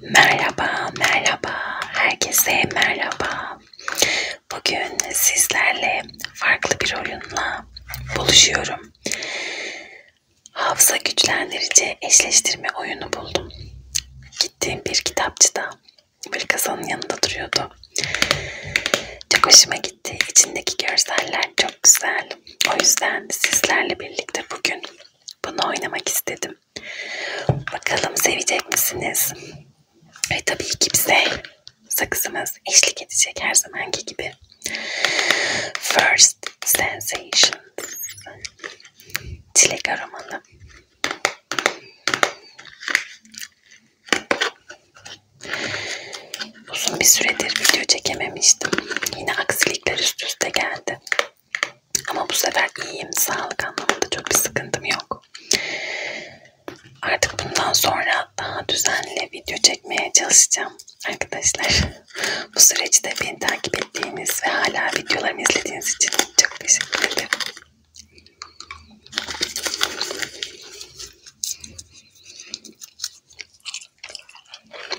Merhaba, merhaba. Herkese merhaba. Bugün sizlerle farklı bir oyunla buluşuyorum. Hafıza güçlendirici eşleştirme oyunu buldum. Gittiğim bir kitapçıda böyle kasanın yanında duruyordu. Çok hoşuma gitti. İçindeki görseller çok güzel. O yüzden sizlerle birlikte bugün bunu oynamak istedim. Bakalım sevecek misiniz? Ve tabii ki bize sakızımız eşlik edecek her zamanki gibi. First Sensation. Çilek aromalı. Uzun bir süredir video çekememiştim. Yine aksilikler üst üste geldi geldi. Ama bu sefer iyiyim. Sağlık anlamında çok bir sıkıntım yok. Artık bundan sonra daha düzenli video çekmeye çalışacağım. Arkadaşlar bu süreçte beni takip ettiğiniz ve hala videolarımı izlediğiniz için çok teşekkür ederim.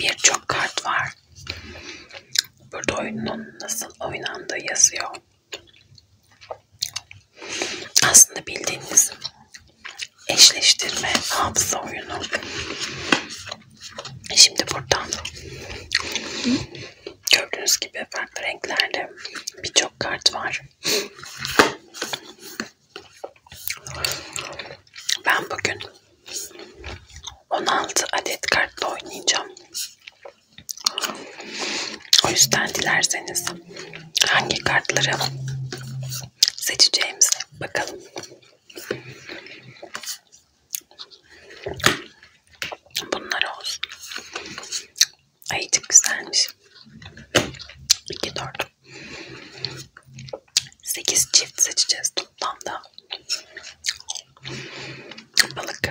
birçok kart var. Burada oyunun nasıl oynandığı yazıyor. Aslında bildiğiniz eşleştirme hafıza oyunu. Şimdi buradan gördüğünüz gibi farklı renklerde birçok kart var. Ben bugün 16 adet kartla oynayacağım. O yüzden dilerseniz hangi kartları seçeceğimize bakalım. Bunlar olsun. Ayıcık güzelmiş. 2 4 8 çift seçeceğiz toplamda. Balık.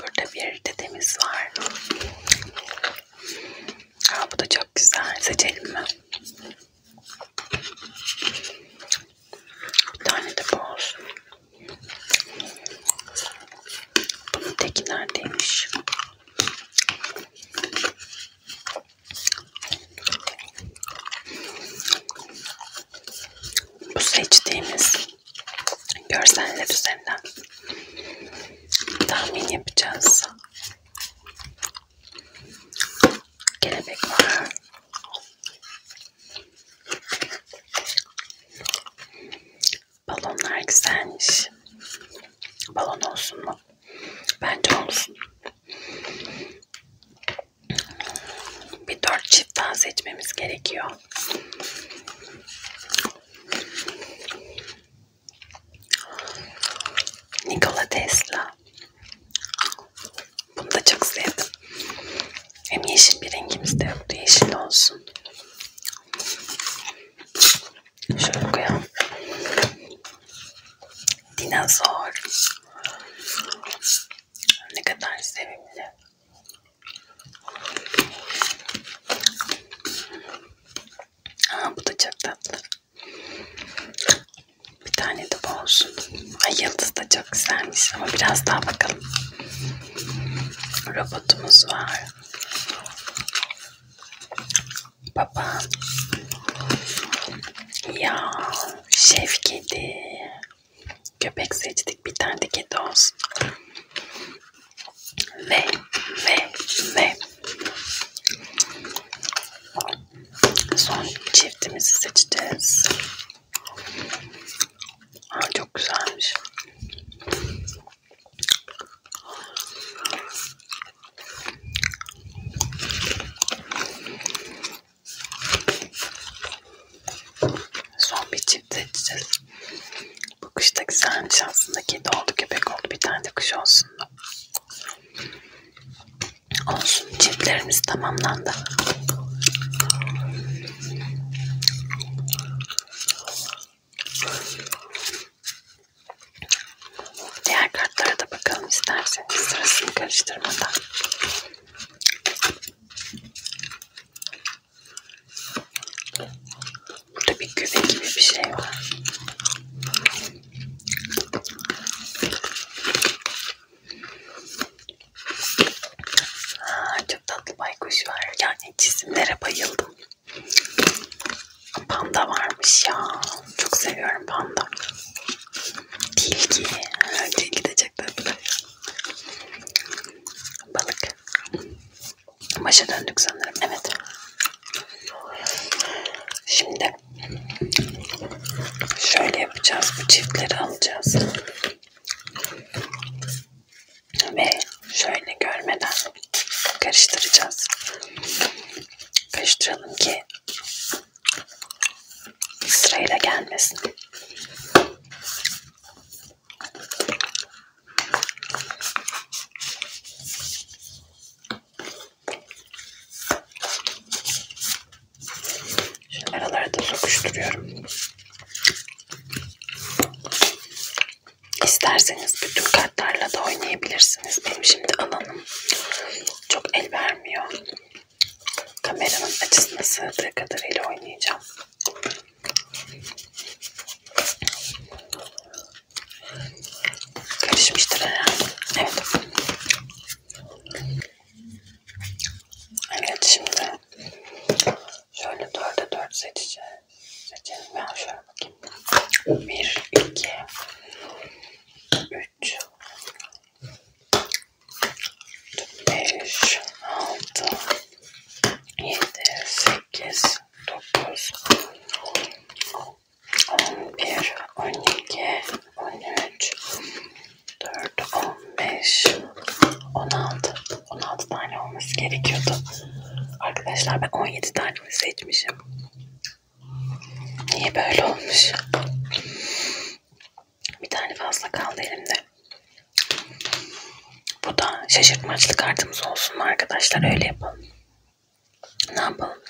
Burada bir dedemiz var. Aa, bu da çok güzel. Seçelim mi? Bir tane de bu olsun. Bunun teki neredeymiş? Bu seçtiğimiz görseller üzerinden tahmin yapacağız. Kelebek var. Balonlar güzelmiş. Balon olsun mu? Bence olsun. Bir dört çiftten seçmemiz gerekiyor. Nikola Tesla. Bunu da çok sevdim. Hem yeşil bir rengimiz de yoktu. Yeşil olsun. Şöyle koyalım. Dinozor. Ne kadar sevimli. Aa, bu da çok tatlı. Bir tane de bu olsun. Ay yıldız da çok güzelmiş ama biraz daha bakalım. Robotumuz var. Baban. Ya şef kedi. Köpek seçtik bir tane de kedi olsun. Ve ve ve son çiftimizi seçeceğiz. Aa, çok güzelmiş. Son bir çift seçeceğiz. Bu kuş da güzelmiş aslında. Kedi oldu, köpek oldu. Bir tane de kuş olsun. Olsun. Çiftlerimiz tamamlandı. Diğer kartlara da bakalım isterseniz sırasını karıştırmadan. Burada bir küve gibi bir şey var. Aa, çok tatlı baykuş var. Yani çizimlere bayıldım. Panda varmış ya. Çok seviyorum panda. Tilki. Tilki de çok tatlı. Balık. Başa döndük sanırım. Evet. Şimdi şöyle yapacağız. Bu çiftleri alacağız. Ve şöyle görmeden karıştıracağız. Karıştıralım ki sırayla gelmesin. Şimdi aralara da sokuşturuyorum. İsterseniz bütün kartlarla da oynayabilirsiniz. Benim şimdi alanım çok el vermiyor. Kameranın açısına sığdığı kadarıyla oynayacağım. Karışmıştır herhalde. Evet. Evet şimdi şöyle dörde dört seçeceğim. Ben şöyle bakayım. 1, 2, 3, 5, 6, 7, 8, 9, 11, 12, 13, 4, 15, 16. 16 tane olması gerekiyordu. Arkadaşlar ben 17 tane seçmişim. Niye böyle olmuş? Bir tane fazla kaldı elimde. Bu da şaşırtmaçlı kartımız olsun arkadaşlar. Öyle yapalım. Ne yapalım?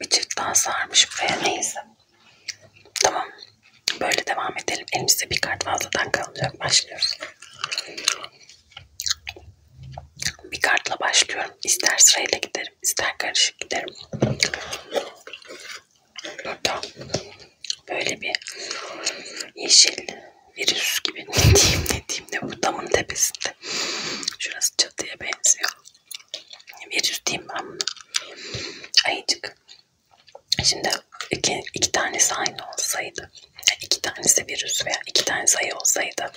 Bir çift daha sarmış buraya. Neyse. Tamam. Böyle devam edelim. Elimizde bir kart fazladan kalacak. Başlıyoruz. Bir kartla başlıyorum. İster sırayla giderim, ister karışık giderim. Burada böyle bir yeşil virüs gibi ne diyeyim ne diyeyim ne bu damın tepesinde. Şurası çatıya benziyor. Virüs diyeyim ben bunu. Ayıcık. Şimdi iki, iki tanesi aynı olsaydı iki tanesi virüs veya iki tane sayı olsaydı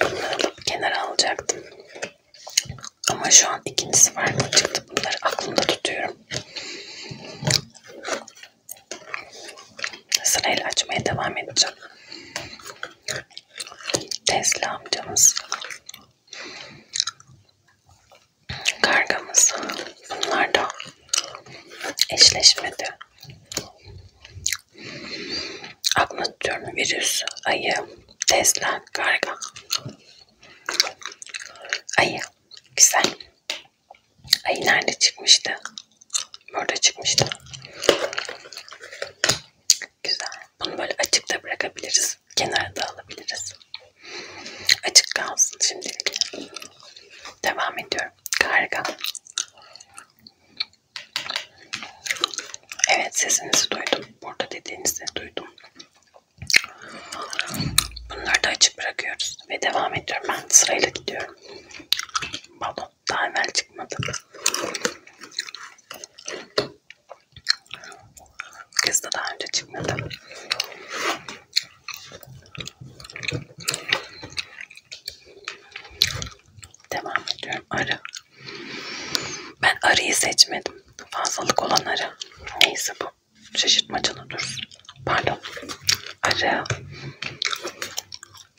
bunları alıp kenara alacaktım. Ama şu an ikincisi farklı çıktı. Bunları aklımda tutuyorum. Sırayla açmaya devam edeceğim. Tesla amcamız. Kargamız. Bunlar da eşleşmedi. Aklını tutuyorum. Virüs, ayı, Tesla, karga. Ayı. Güzel. Ayı nerede çıkmıştı? Burada çıkmıştı. Güzel. Bunu böyle açıkta bırakabiliriz. Kenarda alabiliriz. Açık kalsın şimdilik. Devam ediyorum. Karga. Evet sesinizi duydum. Burada dediğinizi duydum. Bunları da açık bırakıyoruz. Ve devam ediyorum. Ben sırayla gidiyorum. Balon daha evvel çıkmadı. Kız da daha önce çıkmadı. Devam ediyorum. Arı. Ben arıyı seçmedim. Fazlalık olan arı. Neyse bu. Şaşırtmacalı dursun. Pardon. Arı.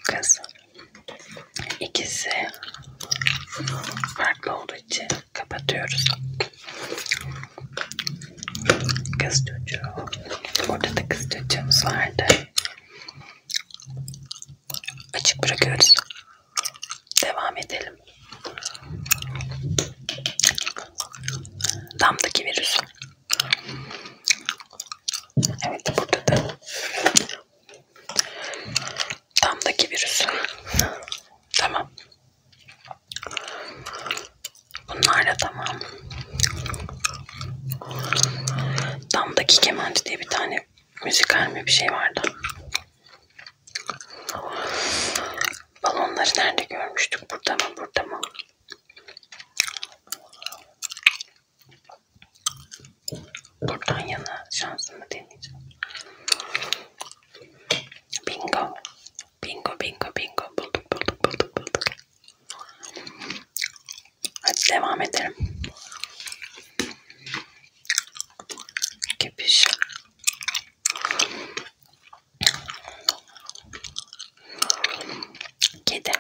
Kız. İkisi farklı olduğu için kapatıyoruz. Kız çocuğu. Orada da kız çocuğumuz vardı. Açık bırakıyoruz. Devam edelim. Damdaki virüs. Evet burada da damdaki virüs. Tamam. Bunlar da tamam. Damdaki Kemenci diye bir tane müzikal mi bir şey vardı. Balonları nerede görmüştük? Burada mı? Burada mı? Buradan yana şansımı deneyeceğim. Bingo. Bingo, bingo, bingo. Bulduk, bulduk, bulduk, bulduk. Hadi devam edelim. Kepiş. Kedi.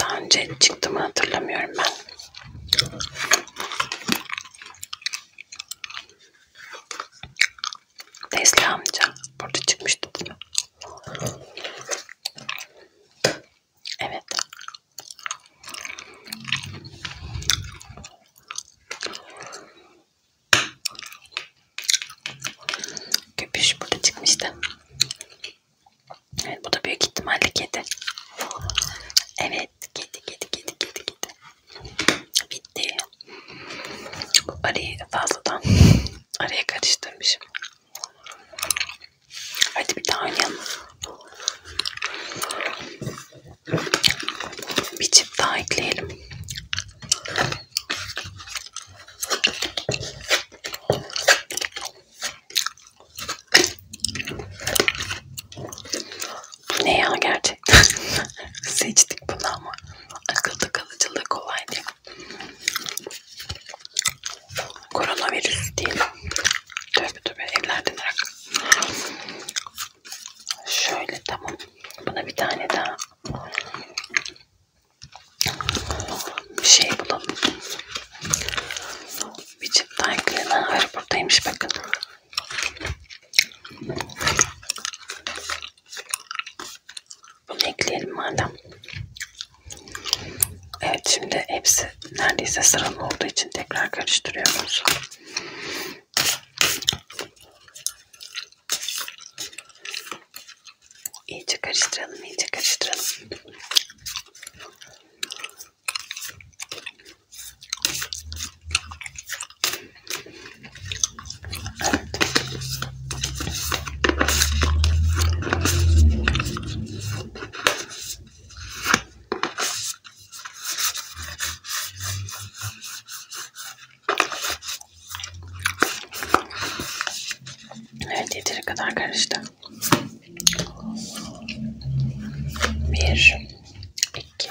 Daha önce çıktı mı hatırlamıyorum ben. Nesli amca burada çıkmıştı değil mi? Evet. Köpüş burada çıkmıştı. Evet bu da büyük ihtimalle kedi. Evet kedi kedi kedi kedi kedi. Bitti. Arayı fazladan araya karıştırmışım. Hadi bir daha oynayalım. Bir çift daha ekleyelim. Bu ne ya gerçekten? gerçekten seçtik bunu ama akılda kalıcılığı kolay değil. Koronavirüs değil. Tövbe tövbe evlerden arak. Şöyle tamam. Buna bir tane daha bir şey bulalım. Biçim tanklenen arı buradaymış bakın. Bunu ekleyelim madem. Evet şimdi hepsi neredeyse sıralı olduğu için tekrar karıştırıyoruz. İyice karıştıralım, iyice karıştıralım. Evet yeteri kadar karıştı. Bir, iki,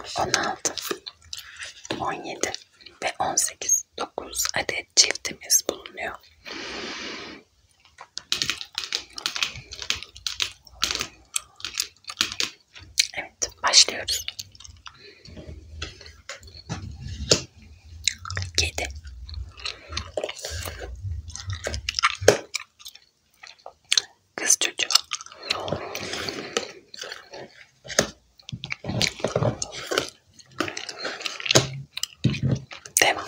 16, 17 ve 18, 9 adet çiftimiz bulunuyor. Evet, başlıyoruz. 7 6 5 4 3 2 1 Kız çocuğu. Devam.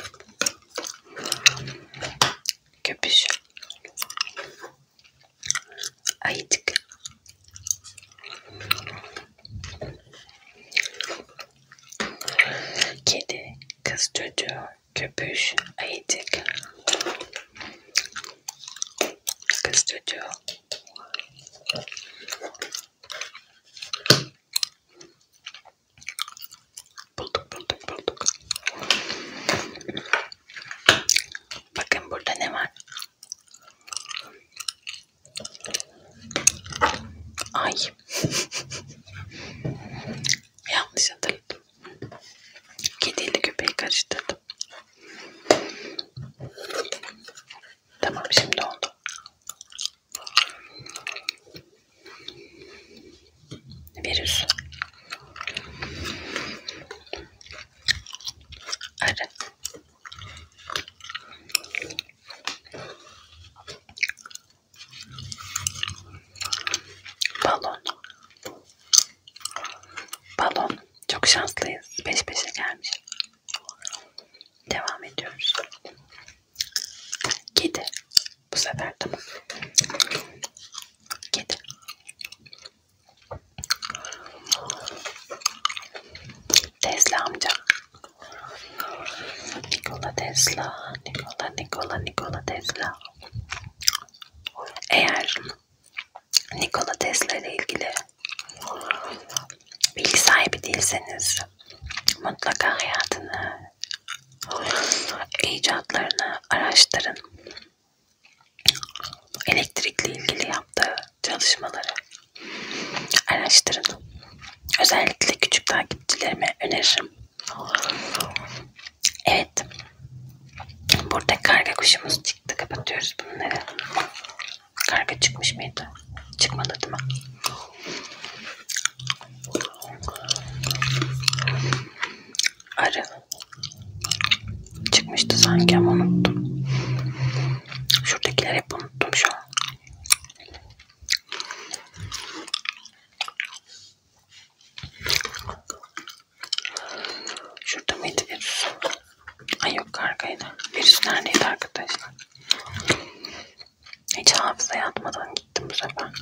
Köpüş. Ayıcık. Kedi, kız çocuğu, köpüş, ayıcık. Kız çocuğu. Bulduk bulduk bulduk. Bakın burada ne var? Ay. Yanlış hatırladım. Kediyle köpeği karıştırdım. Tamam şimdi oldu. Virüs. Arı. Balon. Balon. Çok şanslıyız. Peş peşe gelmiş. Devam ediyoruz. Kedi. Bu sefer tamam. Kedi. Tesla amca. Nikola Tesla. Nikola Nikola Nikola Tesla. Eğer Nikola Tesla ile ilgili bilgi sahibi değilseniz mutlaka hayatını, icatlarını araştırın. Elektrikle ilgili yaptığı çalışmaları araştırın. Özellikle küçük takipçilerime öneririm. Evet. Burada karga kuşumuz çıktı. Kapatıyoruz bunları. Karga çıkmış mıydı? Çıkmadı değil mi? Arı. Çıkmıştı sanki ama unuttum. Şuradakileri hep unuttum şu an. Şurada mıydı virüs? Ay yok arkaydı. Virüs neredeydi arkadaşlar? Hiç hafıza yatmadan gittim bu sefer.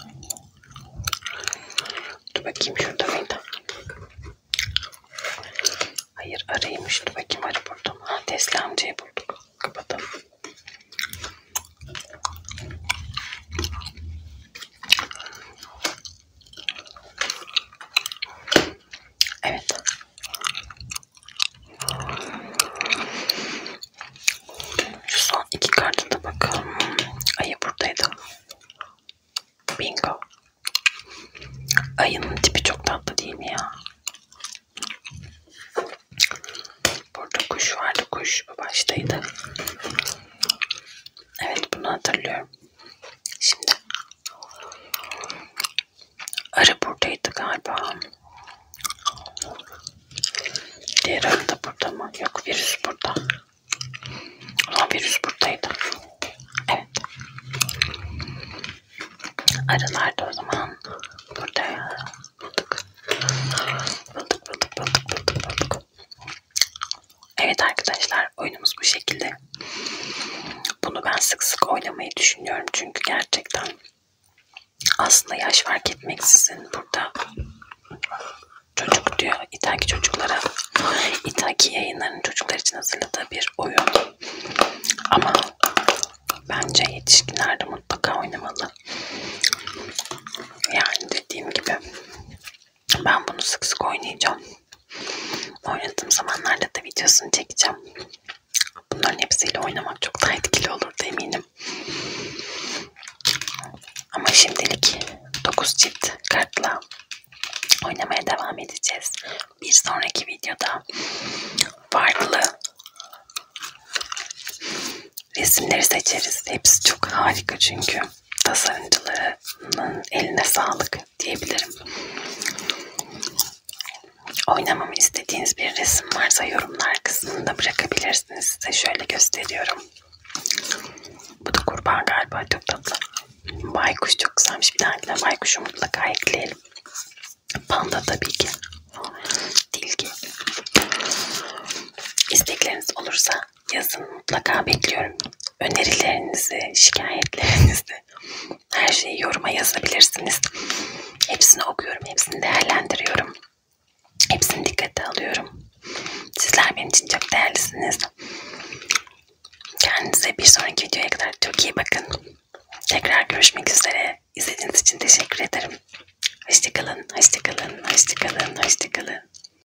Dur bakayım şurada mıydı? Hayır araymış. Dur bakayım arı buldum. Ha ah, Tesla amcayı bulduk. Kapatalım. Evet. Şu son iki kartı da bakalım. Ayı buradaydı. Bingo. Ayının tipi çok tatlı değil mi ya? Burada kuş vardı. Kuş baştaydı. Evet bunu hatırlıyorum. Şimdi arı buradaydı galiba. Diğer arı da burada mı? Yok virüs burada. Ama virüs buradaydı. Evet. Arılar da o zaman burada. Bulduk. Bulduk bulduk bulduk bulduk bulduk. Evet arkadaşlar oyunumuz bu şekilde. Bunu ben sık sık oynamayı düşünüyorum. Çünkü gerçekten aslında yaş fark etmeksizin burada çocuk diyor. İtaki çocuklara İtaki yayınlarının çocuklar için hazırladığı bir oyun. Ama bence yetişkinler de mutlaka oynamalı. Yani dediğim gibi ben bunu sık sık oynayacağım. Oynadığım zamanlarda da videosunu çekeceğim. Bunların hepsiyle oynamak çok daha etkili olur eminim. Ama şimdilik 9 cilt kartla oynamaya devam edeceğiz. Bir sonraki videoda farklı resimleri seçeriz. Hepsi çok harika çünkü tasarımcılarının eline sağlık diyebilirim. Oynamamı istediğiniz bir resim varsa yorumlar kısmında bırakabilirsiniz. Size şöyle gösteriyorum. Bu da kurban galiba çok tatlı. Baykuş çok güzelmiş. Bir dahakine baykuşu mutlaka ekleyelim. Panda tabii ki. Dilgi. İstekleriniz olursa yazın mutlaka bekliyorum. Önerilerinizi, şikayetlerinizi, her şeyi yoruma yazabilirsiniz. Hepsini okuyorum, hepsini değerlendiriyorum. Hepsini dikkate alıyorum. Sizler benim için çok değerlisiniz. Kendinize bir sonraki videoya kadar çok iyi bakın. Tekrar görüşmek üzere. İzlediğiniz için teşekkür ederim. Hoşçakalın, hoşçakalın, hoşçakalın, hoşçakalın.